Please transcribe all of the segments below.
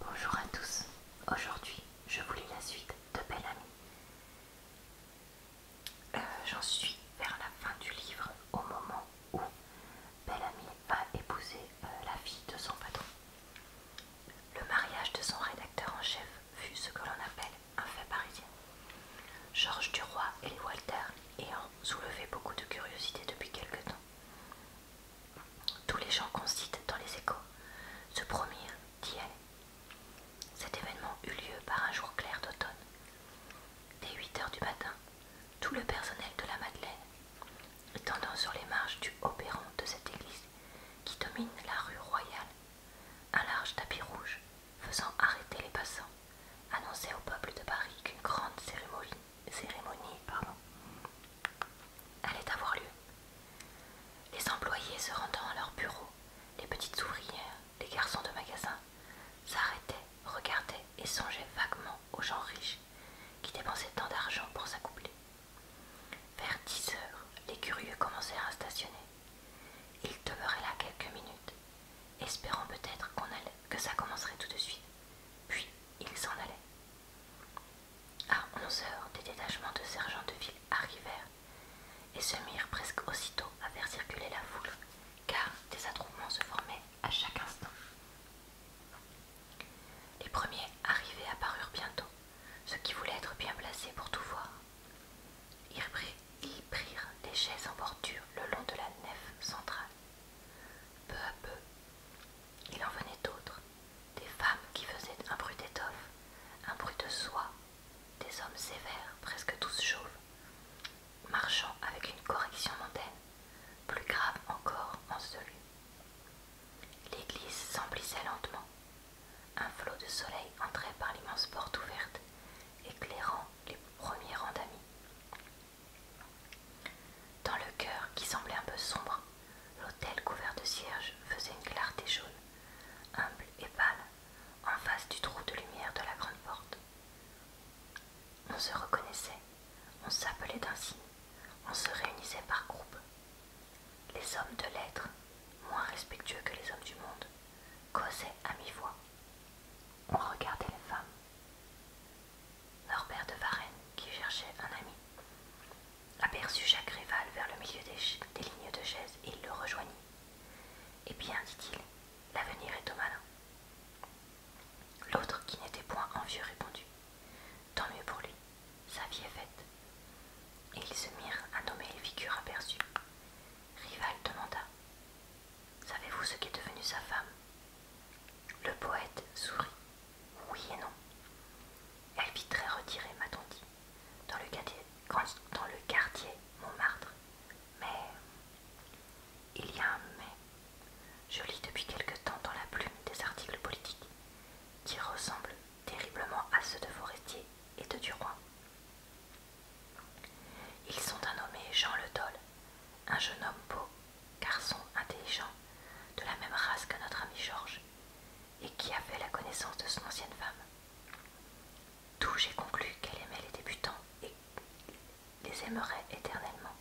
Bonjour à tous, aujourd'hui je vous lis la suite de Belle Amie. Euh, j'en suis vers la fin du livre au moment où Belle Amie va épouser euh, la fille de son patron. Le mariage de son rédacteur en chef fut ce que l'on appelle un fait parisien. Georges Duroy et Walter ayant soulevé beaucoup de curiosité depuis quelque temps, tous les gens qu'on dans les échos se promirent d'y aller. Cet événement eut lieu par un jour clair d'automne. Dès 8 heures du matin, tout le personnel de la Madeleine, étendant sur les marges du haut perron de cette église qui domine la rue Royale, un large tapis rouge faisant arrêter les passants, annonçait au peuple de Paris qu'une grande cérémonie, cérémonie allait avoir lieu. Les employés se rendant à leur bureau, les petites ouvrières, les garçons de magasin, s'arrêtaient, regardaient et songeaient vaguement aux gens riches qui dépensaient tant d'argent pour s'accoupler. Vers dix heures, les curieux commencèrent à stationner. Ils demeuraient là quelques minutes, espérant peut-être qu'on allait, que ça commencerait tout de suite. Puis ils s'en allaient. À onze heures, des détachements de sergents de ville arrivèrent et se mirent presque aussitôt à faire circuler la foule, car des attroupements se formaient à chaque instant. Les premiers arrivés apparurent bientôt, ceux qui voulaient être bien placés pour tout voir. Ils prirent des chaises en bordure le long de la nef centrale. Peu à peu, il en venait d'autres, des femmes qui faisaient un bruit d'étoffe, un bruit de soie, des hommes sévères, presque tous chauves, marchant avec une correction mondaine, plus grave encore en celui. L'église s'emplissait lentement. Un flot de soleil entrait par l'immense porte ouverte, éclairant les premiers rangs d'amis. Dans le cœur, qui semblait un peu sombre, l'autel couvert de cierges faisait une clarté jaune, humble et pâle, en face du trou de lumière de la grande porte. On se reconnaissait, on s'appelait d'un signe, on se réunissait par groupes. Les hommes de lettres, moins respectueux que les hommes du monde, causaient à mi-voix. On regardait les femmes. Norbert de Varennes, qui cherchait un ami, aperçut Jacques Rival vers le milieu des, lignes de chaise et il le rejoignit. Eh bien, dit-il, l'avenir est au malin. L'autre, qui n'était point envieux, répondit Tant mieux pour lui, sa vie est faite. Et ils se mirent à nommer les figures aperçues. Rival demanda Savez-vous ce qu'est devenue sa femme Le poète sourit. Oui et non. Elle vit très retirée, m'a-t-on dit, dans le, quartier, dans le quartier Montmartre. Mais. Il y a un mais. Je lis depuis quelque temps dans la plume des articles politiques qui ressemblent terriblement à ceux de Forestier et de Duroy. Ils sont un nommé Jean Le Dol, un jeune homme beau garçon intelligent, de la même race que notre ami Georges, et qui a fait la connaissance de son ancienne femme. D'où j'ai conclu qu'elle aimait les débutants et les aimerait éternellement.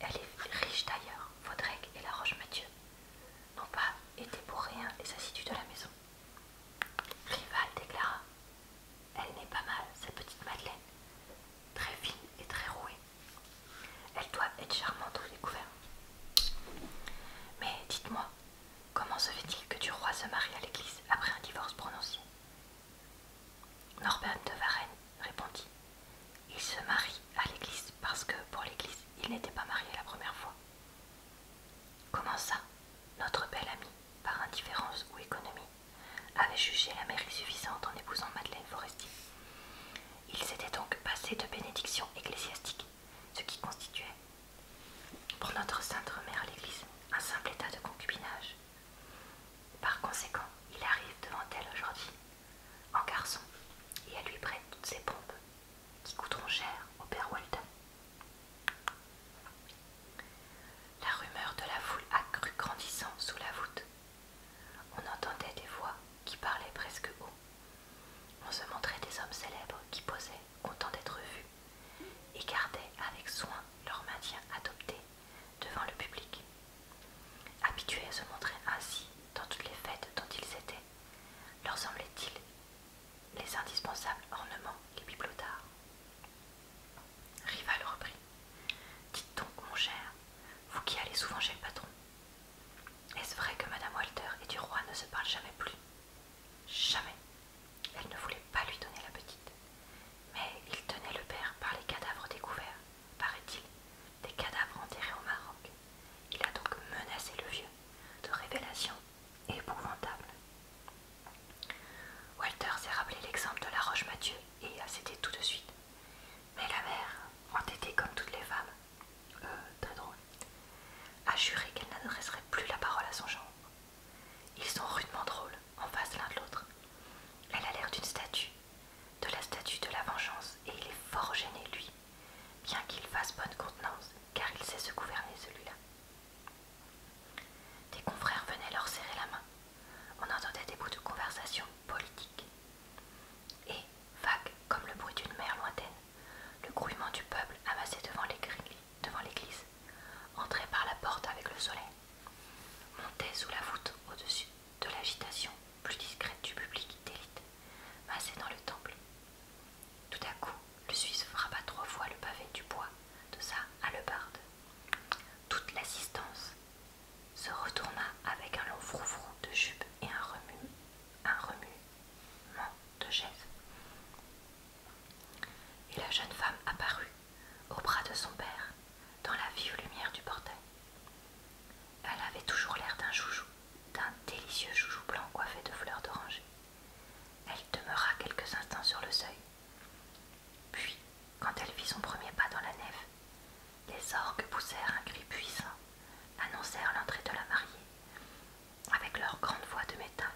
Elle est riche d'ailleurs, Vaudrec et la Roche-Mathieu n'ont pas été pour rien les assidus de la maison. Rival déclara elle n'est pas mal, cette petite Madeleine, très fine et très rouée. Elle doit être charmante au découvert. Mais dites-moi, comment se fait-il que du roi se marie à l'église après un divorce prononcé Norbert de Varennes répondit Il se marie à l'église parce que pour l'église, il n'était pas marié la première fois. Comment ça Notre belle amie par indifférence ou économie, avait jugé la mère suffisante en épousant Madeleine Forestier. Il s'était donc passé de bénédiction ecclésiastique, ce qui constituait, pour notre sainte Mère l'Église, un simple état de concubinage. Par conséquent, il arrive devant elle aujourd'hui, en garçon, et elle lui prête toutes ses pompes, qui coûteront cher au père Walton, la rumeur de la foule cru grandissant sous la voûte. On entendait des voix qui parlaient presque haut. On se montrait des hommes célèbres qui posaient, contents d'être vus, et gardaient avec soin leur maintien adopté devant le public. Habitués à se montrer ainsi dans toutes les fêtes dont ils étaient, leur semblait-il les indispensables ornements les bibelots Rival reprit. Dites donc, mon cher, vous qui allez souvent chez le patron, est-ce vrai que Madame Walter et du roi ne se parlent jamais plus Jamais. Elle ne voulait pas lui donner la petite. Mais il tenait le père par les cadavres découverts, paraît-il, des cadavres enterrés au Maroc. Il a donc menacé le vieux de révélations épouvantable. Walter s'est rappelé l'exemple de la roche Mathieu et a cédé tout de suite. Mais la mère, entêtée comme toutes les femmes, euh, très drôle, a juré qu'elle n'adresserait plus la parole à son genre. Ils sont rudement drôles, en face l'un de l'autre. Elle a l'air d'une statue, de la statue de la vengeance, et il est fort gêné, lui, bien qu'il fasse bonne contenance, car il sait se gouverner celui-là. Des confrères venaient leur serrer la main. On entendait des bouts de conversation politique. Et, vague comme le bruit d'une mer lointaine, le grouillement du peuple amassé devant l'église entrait par la porte avec le soleil, montait sous la voûte au-dessus de l'agitation plus discrète du public d'élite massé dans le temple. Tout à coup, le Suisse frappa trois fois le pavé du bois de sa hallebarde. Toute l'assistance se retourna avec un long froufrou de jupe et un remue, un remuement de chaise. Et la jeune femme apparut au bras de son père dans la vive lumière du portail. Elle avait toujours l'air d'un joujou, d'un délicieux joujou blanc coiffé de fleurs d'oranger. Elle demeura quelques instants sur le seuil. Puis, quand elle fit son premier pas dans la nef, les orgues poussèrent un cri puissant, annoncèrent l'entrée de la mariée, avec leur grande voix de métal.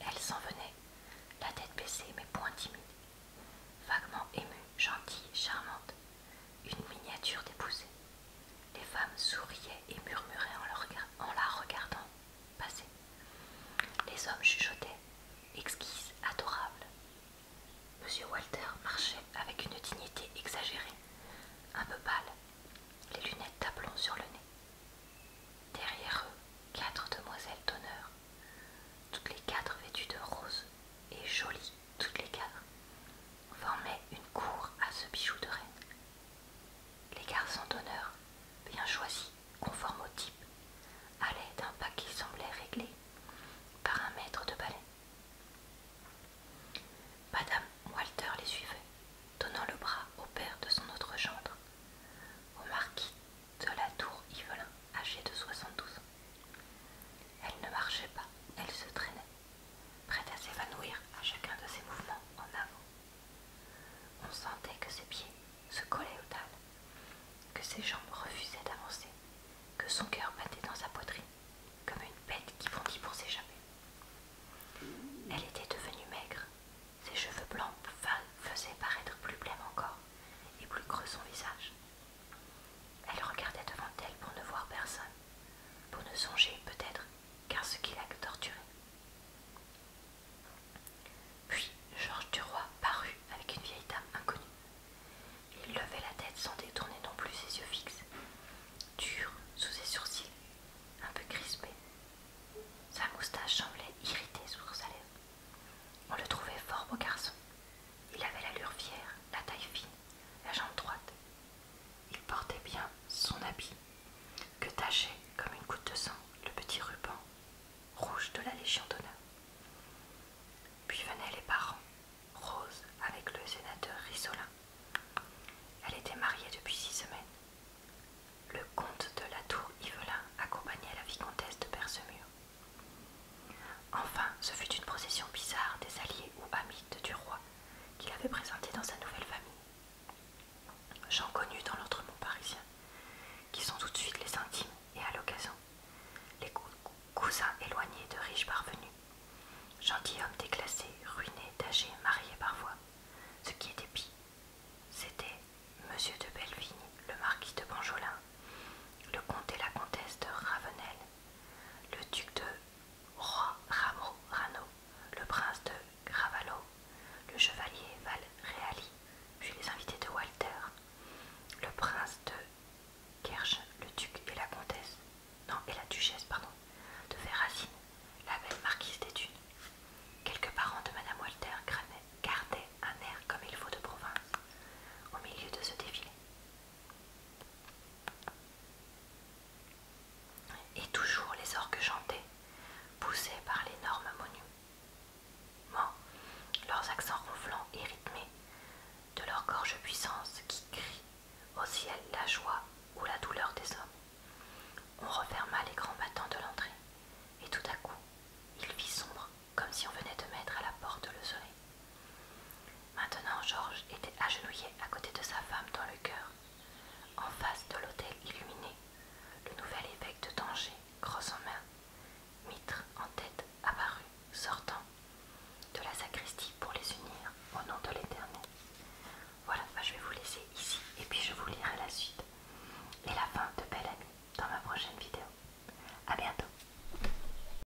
Elle s'en venait, la tête baissée mais point timide, vaguement émue, gentille, charmante, une miniature d'épousée. Les femmes souriaient et murmuraient en, la regardant passer. Les hommes chuchotaient, exquises, adorable. Monsieur Walter marchait avec une dignité exagérée, un peu pâle, les lunettes tablons sur le nez. Derrière eux, quatre demoiselles d'honneur, toutes les quatre vêtues de rose et jolies, toutes les quatre, formaient une cour à ce bijou de reine. Les garçons d'honneur, bien choisis, conformes au type, allaient d'un pas qui semblait réglé par un maître de ballet. Madame Walter les suivait, donnant le bras au père de son autre gendre, au marquis de la tour Yvelin, âgé de 72 ans. Elle ne marchait pas, elle se traînait prête à s'évanouir à chacun de ses mouvements en avant. On sentait que ses pieds se collaient au tal, que ses jambes refusaient d'avancer, que son cœur battait dans sa poitrine comme une bête qui bondit pour s'échapper. Elle était devenue maigre, ses cheveux blancs faisaient paraître plus blême encore et plus creux son visage. Elle regardait devant elle pour ne voir personne, pour ne songer peut-être car ce qu'il a torturé. Puis Georges Duroy parut avec une vieille dame inconnue. Il levait la tête sans détourner non plus ses yeux fixes, durs sous ses sourcils, un peu crispés. Sa moustache semblait irritée sur sa lèvre. On le trouvait fort beau garçon. Il avait l'allure fière, la taille fine, la jambe droite. Il portait bien son habit, que tachait comme une goutte de sang le petit ruban rouge de la Légion d'honneur. Puis venaient les parents, Rose avec le sénateur Rissolin. Elle était mariée depuis six semaines. Le comte de la tour Yvelin accompagnait la vicomtesse de Persemur. Enfin, ce fut une procession bizarre des alliés ou amis du roi qu'il avait présenté dans sa nouvelle famille. J'en connus dans lautre parisien, qui sont tout de suite les intimes et à l'occasion, les cousins éloignés de riches parvenus, gentilshommes déclassés, ruinés, âgés mariés parfois. Ce qui était pis, c'était Monsieur de Bellevigne, le marquis de Banjolin, le comte et la comtesse de Ravenel, le duc de roi Ramo Rano, le prince de Gravalo, le chevalier Valréali, puis les invités de Walter, le prince de Kerch, le duc et la comtesse, non, et la duchesse, pardon, de Verracine, la belle marquise des Quelques parents de Madame Walter gardaient un air comme il faut de province au milieu de ce défilé. Et toujours les orgues chantaient, poussés par l'énorme monument, leurs accents ronflants et rythmés, de leur gorge puissance qui crie au ciel la joie ou la douleur des hommes. On referma les grands battants de l'entrée, et tout à coup, il vit sombre, comme si on venait de mettre à la porte le soleil. Maintenant Georges était agenouillé à côté de sa femme dans le cœur en face de l'autel illuminé, le nouvel évêque de Tanger, crosse en main, mitre en tête, apparut, sortant de la sacristie pour les unir au nom de l'Éternel. Voilà, je vais vous laisser ici et puis je vous lirai la suite et la fin de Belle Amie dans ma prochaine vidéo. A bientôt